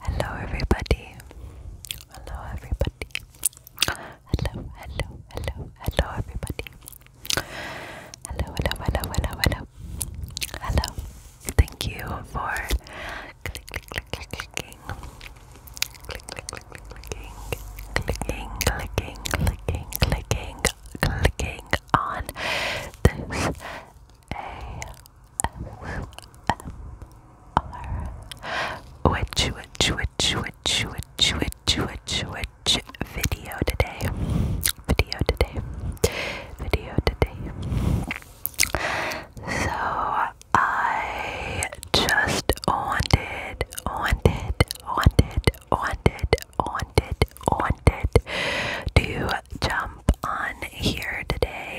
Hello, everybody. Hello, everybody. Hello, hello, hello, hello, everybody. Hello, hello, hello, hello, hello. Hello. Thank you for click, click, clicking. clicking. Clicking, clicking, clicking, clicking, clicking on this ASMR witch witch witch witch witch witch witch video today video today video today so I just wanted wanted wanted wanted wanted wanted to jump on here today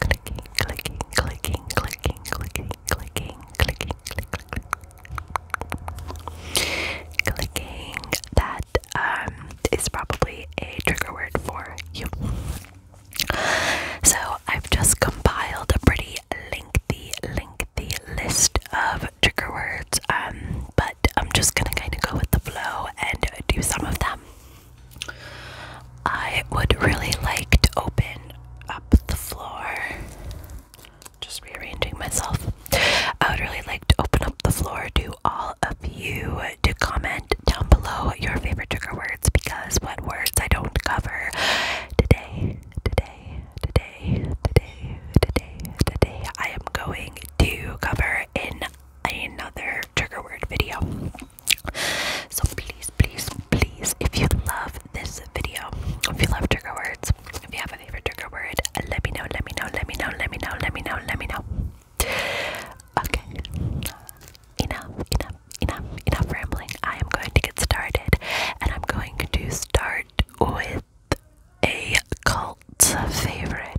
clicking, clicking, clicking, clicking, clicking, clicking, clicking, clicking, clicking. That um is probably a trigger word for you. So I've just compiled a pretty lengthy, lengthy list of trigger words. Um, but I'm just gonna kind of go with the flow and do some of them. I would really like to open up the floor. Just rearranging myself. I would really like to open up the floor to all of you to comment down below your favorite trigger words because what words I don't cover today, today, today, today, today, today, I am going to cover in another trigger word video. So please, please, please, if you love this video, if you love trigger words, if you have a favorite trigger word, let me know, let me know, let me know, let me know, let me know, let me know. Okay. Enough, enough, enough, enough rambling. I am going to get started and I'm going to start with a cult favorite.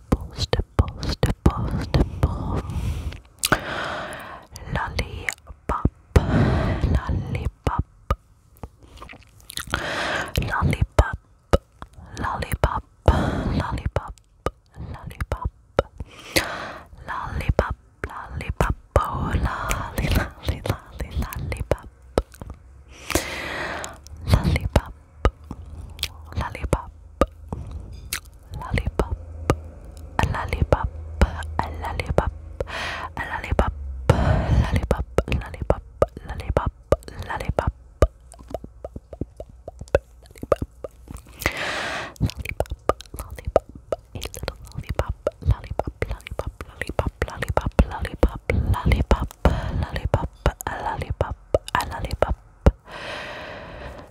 dimples, dimples, dimples, dimple. Lollipop, lollipop, lollipop, lollipop, lollipop, lollipop, lollipop, lollipop, oh, lolly, lolly, lolly, lollipop, lollipop lollipop, lollipop, a lollipop, a lollipop, a lollipop, lollipop, lollipop, lollipop, lollipop, lollipop, a little lollipop, lollipop, lollipop, lollipop, lollipop, lollipop, lollipop, lollipop, a lollipop, a lollipop,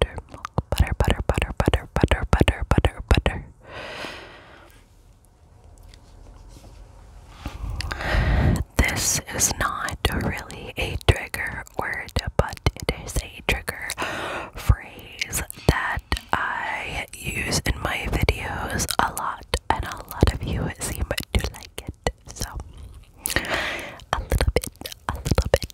butter, butter, butter, butter, butter, butter, butter, butter. This is not really a trigger word, but it is a trigger phrase that I use in my videos a lot, and a lot of you seem to like it. So, a little bit, a little bit,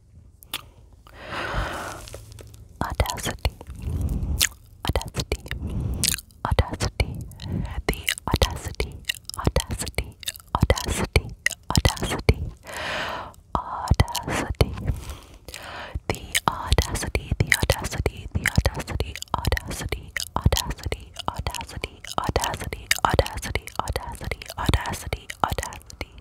Audacity. Audacity. Audacity. The audacity. Audacity. Audacity. Audacity. Audacity. The audacity. The audacity. The audacity. Audacity. Audacity. Audacity. Audacity. Audacity. Audacity. Audacity. Audacity. Audacity.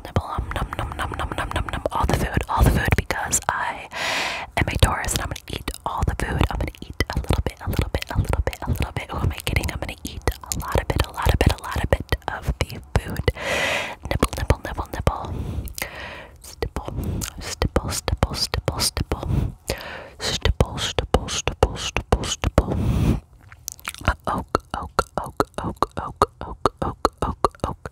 nibble, nibble, um, num, num, num, num, num, num, num, all the food, all the food, because I am a Taurus and I'm gonna eat all the food. I'm gonna eat a little bit, a little bit, a little bit, a little bit. Who am I kidding? I'm gonna eat a lot of it, a lot of it, a lot of it of the food. Nibble, nibble, nibble, nibble. Stipple, stipple, stipple, stipple, stipple. Stipple, stipple, stipple, stipple, stipple. Uh, oak, oak, oak, oak, oak, oak, oak, oak, oak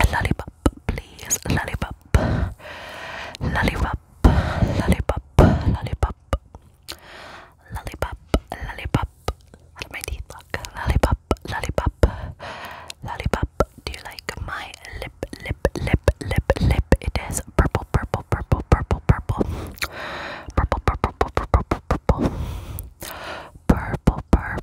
A lollipop, please. Lollipop. Lollipop. Lollipop. Lollipop. Lollipop. Lollipop. How do my teeth look? Lollipop. Lollipop. Lollipop. Do you like my lip, lip, lip, lip, lip? It is purple, purple, purple, purple, purple. Purple, purple, purple, purple, purple. Purple, purple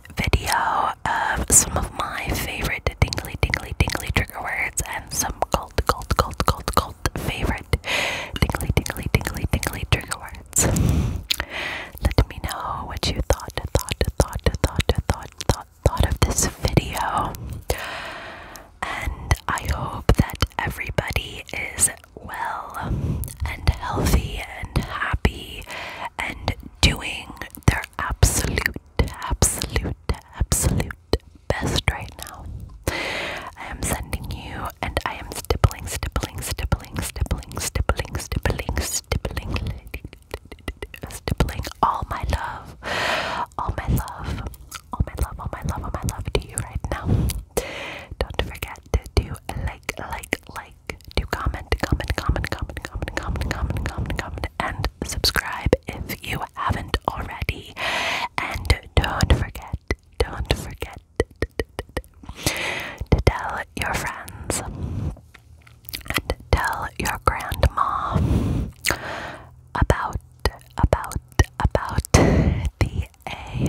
video of some of my favorite tingly, tingly, tingly trigger words and some cult, cult, cult, cult, cult favorite tingly, tingly, tingly, tingly trigger words. Let me know what you thought, thought, thought, thought, thought, thought, thought of this video. And I hope that everybody is well and healthy and happy and doing their absolute, absolute, absolute best right now. I am sending you, and I am stippling, stippling, stippling, stippling, stippling, stippling, stippling, stippling all my love, all my love, all my love, all my love, all my love to you right now. Don't forget to do like, like, like to comment, comment, comment, comment, comment, comment, comment, comment, comment, and subscribe if you haven't already. And don't forget, don't forget to tell your friends and tell your grandma about about about the a.